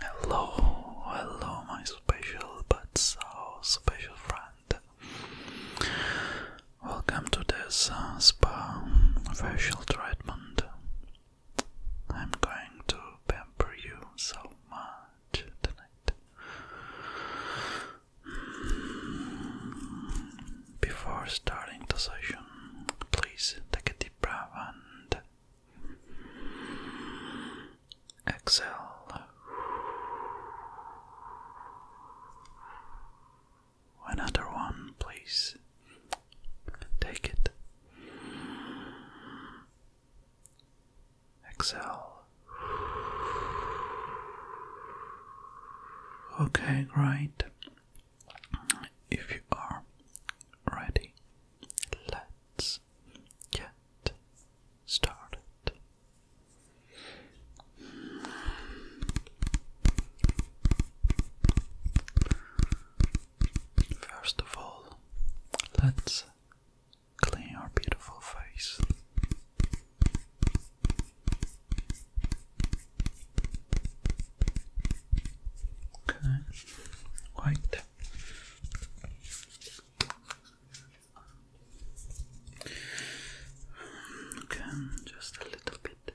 Hello, hello, my special but so special friend. Welcome to this uh, spa facial treatment. I'm going to pamper you so much tonight. Before starting the session, please take a deep breath and exhale. Another one, please. Take it. Exhale. Okay, great. If you are ready, let's get started. First of all, let's clean our beautiful face. Okay, white. Okay, just a little bit.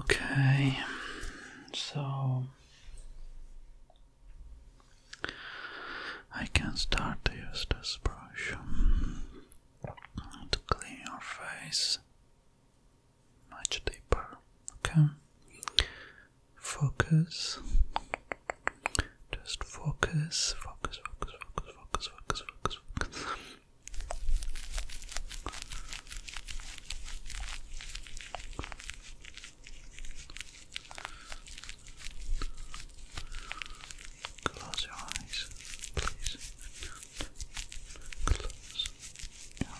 Okay, so I can start to use this brush to clean your face much deeper. Okay, focus, just focus, focus, focus, focus, focus, focus, Close your eyes, please. Close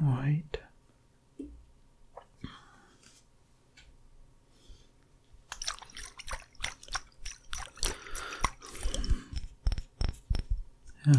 White. Yes. Okay.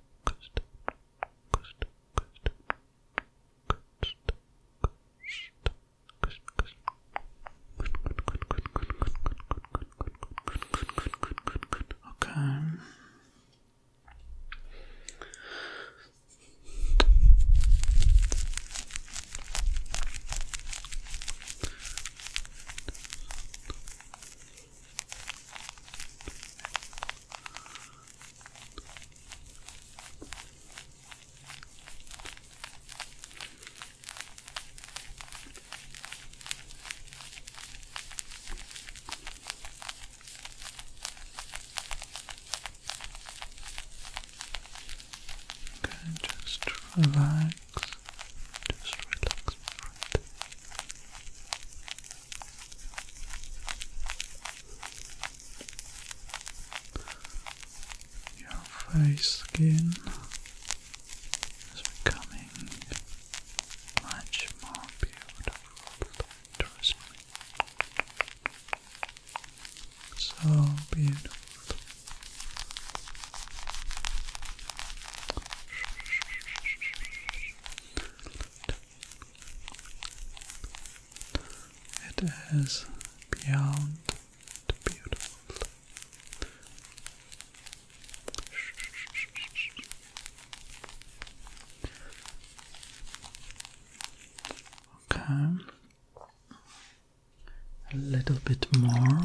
coast, coast, coast, coast, coast, Okay. Okay. Okay, just relax, just relax, friend. Your face skin is becoming much more beautiful, So beautiful. It is beyond beautiful. Okay, a little bit more.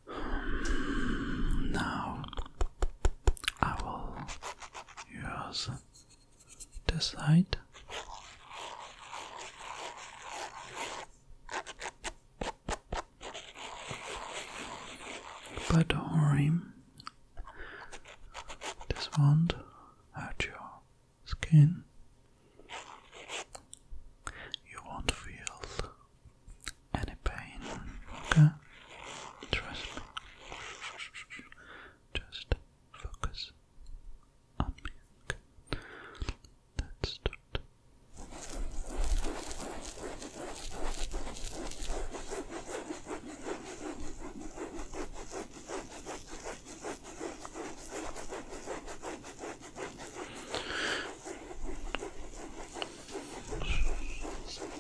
Now I will use this side. But don't worry, this won't hurt your skin. You won't feel any pain. Okay? Trust me. Just focus on me. Okay? Let's start.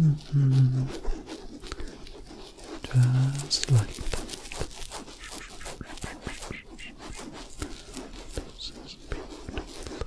Mm -hmm. Just like that. This is beautiful.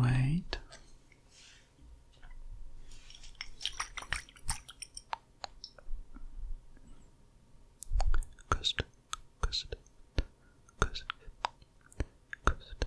Wait. Custard, custard, custard, custard,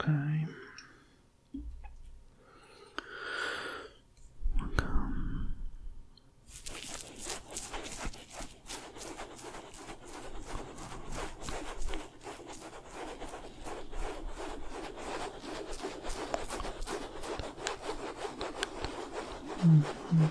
Okay. Welcome. Mm -hmm.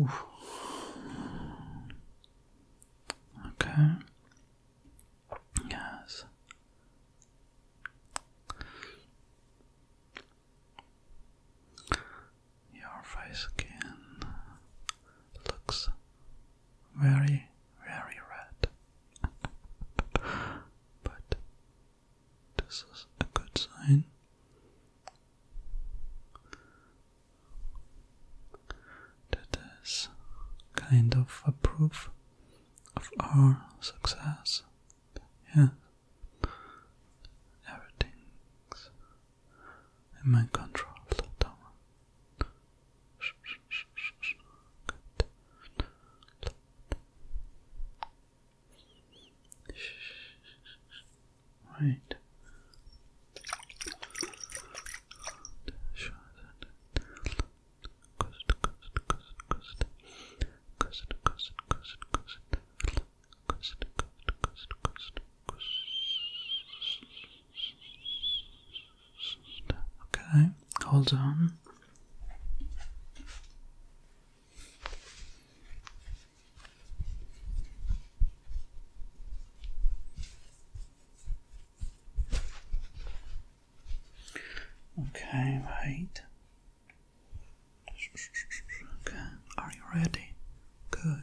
Oof. Okay. Yes. Your face skin looks very, very red, but this is a good sign. That is kind of a proof of our success. Yeah. Everything's in my control, Good. Right. Okay, hold on. Okay, wait. Okay, are you ready? Good.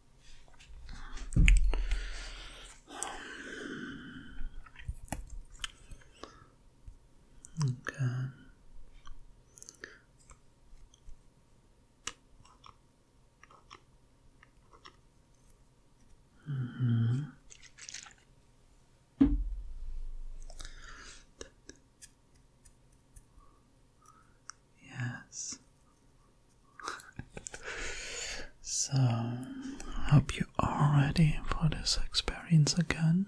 Okay. hmm Yes, so, hope you are ready for this experience again.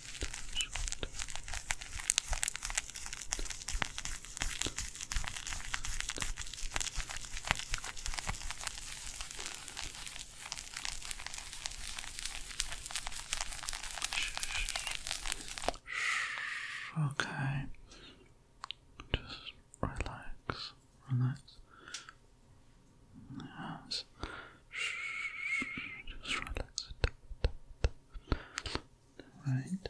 Okay. Just relax, relax. Yes. Just relax it. Right.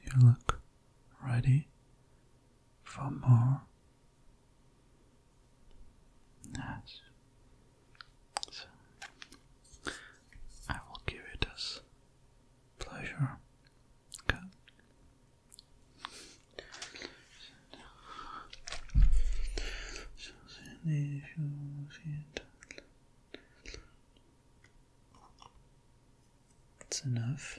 Here, look ready for more. Yes. So I will give it as pleasure. That's enough.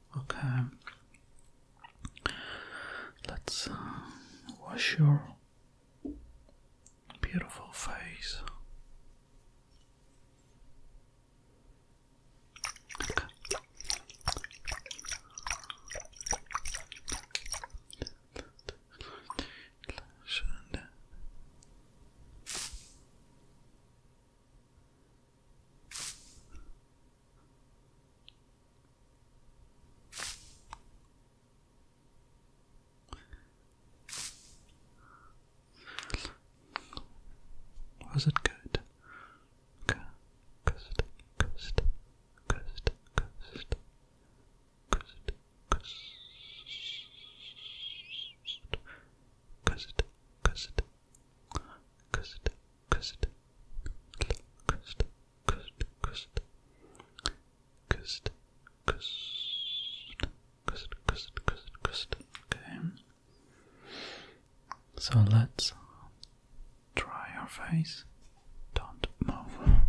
Okay. Let's uh, wash your beautiful face. Was it good? Cursed, cursed, cursed, cursed, cursed, cursed, custard, custard, custard, custard, custard, custard, custard, custard, custard, custard, custard, custard. Okay. So let's dry your face. Don't move.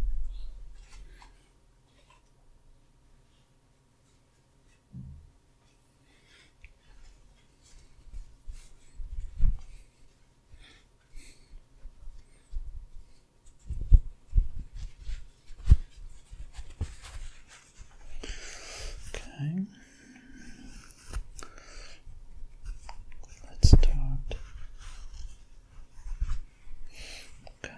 Okay. Let's start. Okay.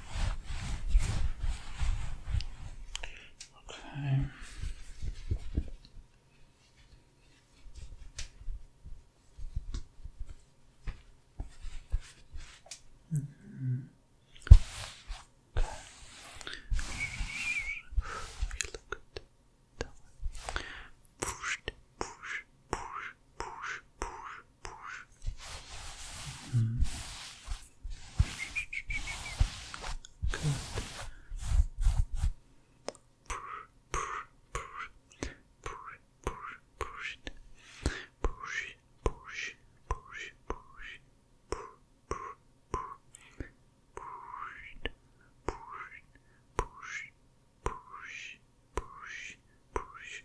Okay. -hmm. okay. look good. That way. Push, push, push, push, push. Mm. Good. Push, push, push, push, push it. Push, push, push, push, push, push, push, push, push, push, push, push, push, push,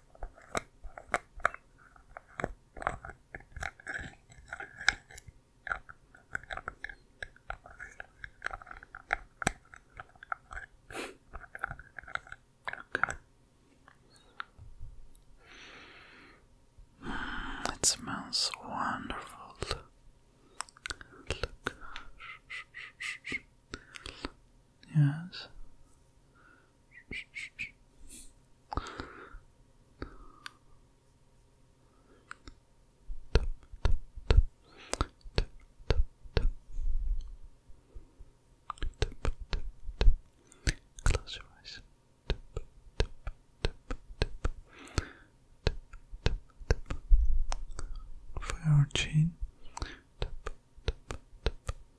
Mm, it smells wonderful. Yes. Close your eyes. For your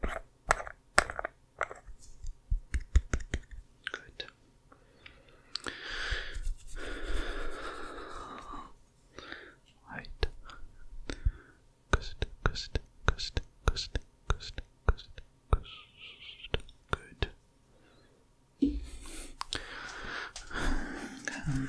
Good. Right. Good, good, good, good, good, good, good. Good.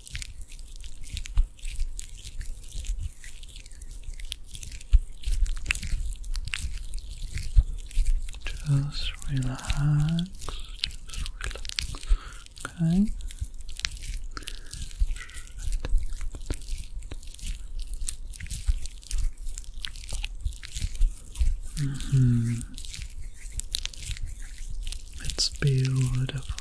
Just relax, okay. -hmm. It's beautiful.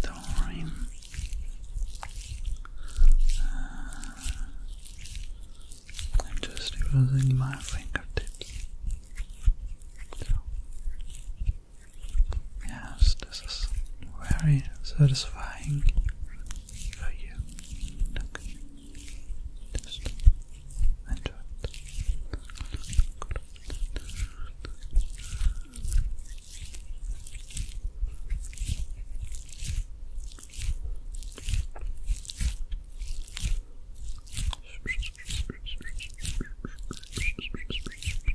Don't worry. Uh, I'm just using my fingertips. yes, this is very satisfying for you. Look. Just enjoy it.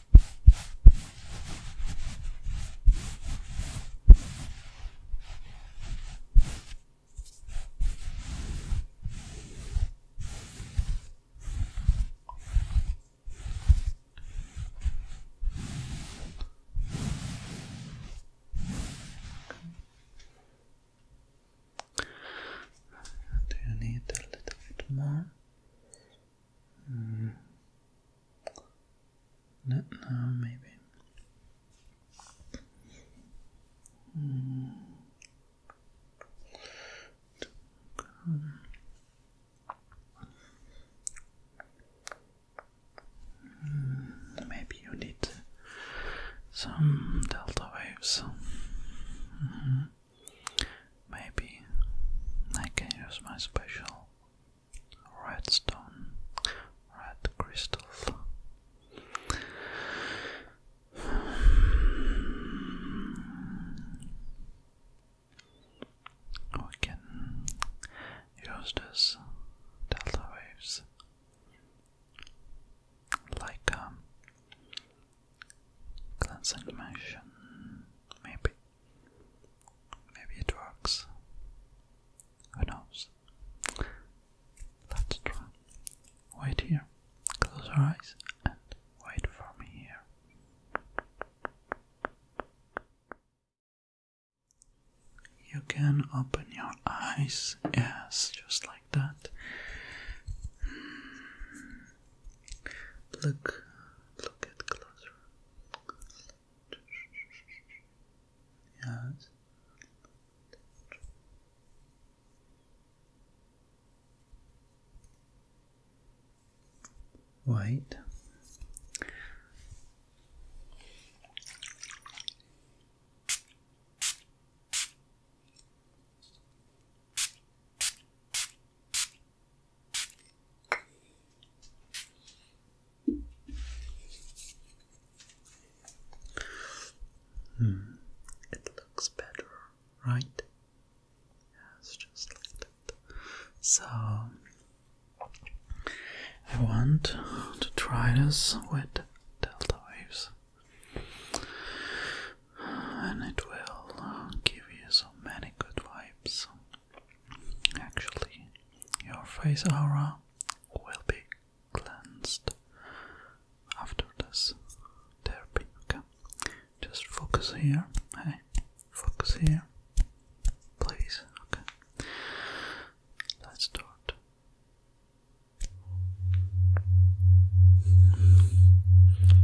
Do you need a little more? Mm. No, maybe. Mm. Maybe you need some delta waves. Mm-hmm. Maybe I can use my special redstone, red crystal. We can use this delta waves like um, that's animation. Maybe. Maybe it works. Who knows? Let's Wait here. Close your eyes and wait for me here. You can open your eyes, yes, just like that. Hmm. Look look at closer. Yes. White. Hmm, it looks better, right? Yes, just like that. So, I want to try this with delta waves and it will uh, give you so many good vibes. Actually, your face aura will be cleansed after this therapy. Okay, just focus here. Hey, focus here, please. Okay, let's start.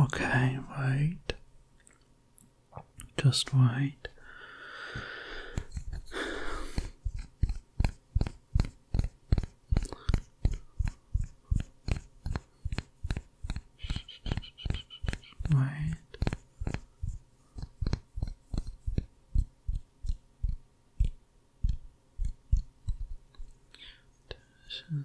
Okay, wait. Just wait. Right. Tension. Right.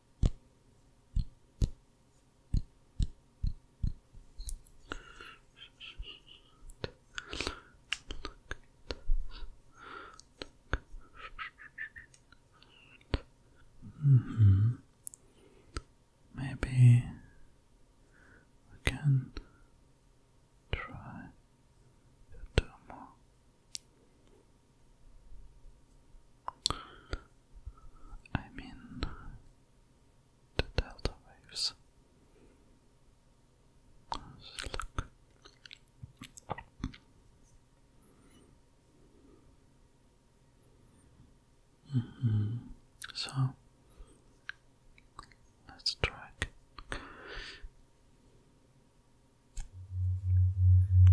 Mm-hmm. Maybe we can try to do more. I am in the delta waves. look. Mm-hmm. So let's try.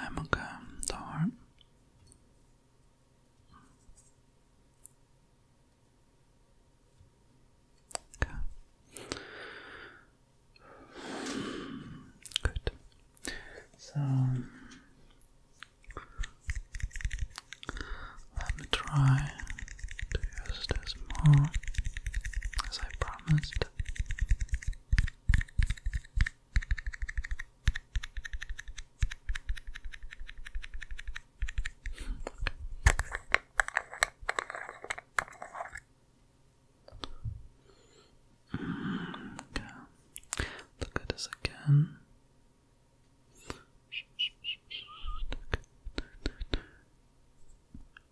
해먹음 덜 Okay. Good. So let me try to use this more as I promised. Okay. Look at this again.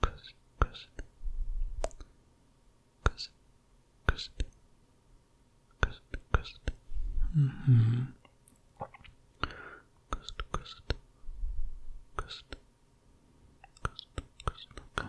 Cousin, cousin, cousin, cousin, cousin, cousin. Mm-hmm. Cousin, cousin, cousin, cousin, cousin. Okay.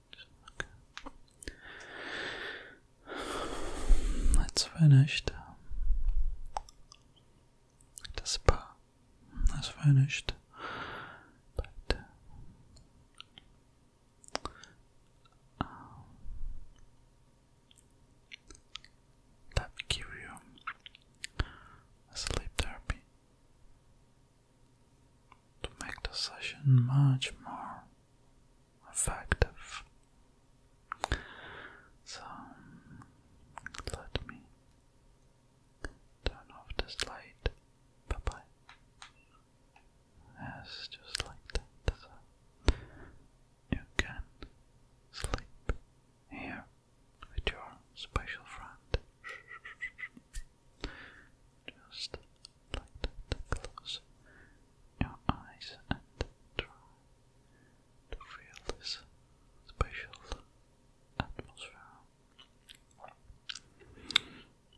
That's finished. The spa is finished, but um, let you sleep therapy to make the session much more effective. So let me turn off this light. Bye bye. Yes, just like you can sleep here with your special friend. Just like that, close your eyes and try to feel this special atmosphere.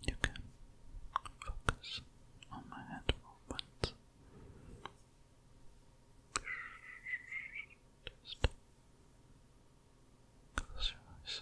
You can focus on my hand movements. Just close your eyes.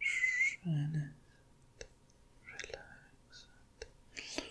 Shine it. Relax it. Shh. Relax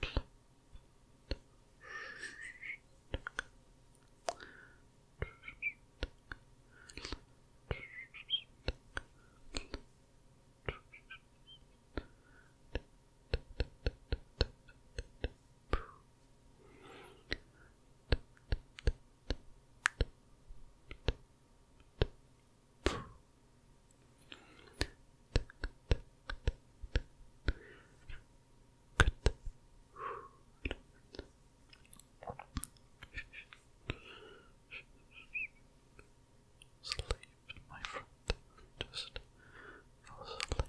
Poo. Good. Sleep, my friend. Just fall asleep.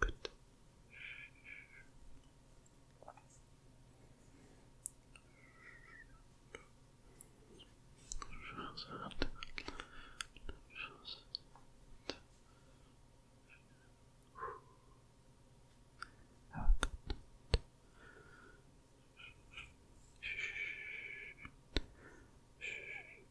Good. Shh.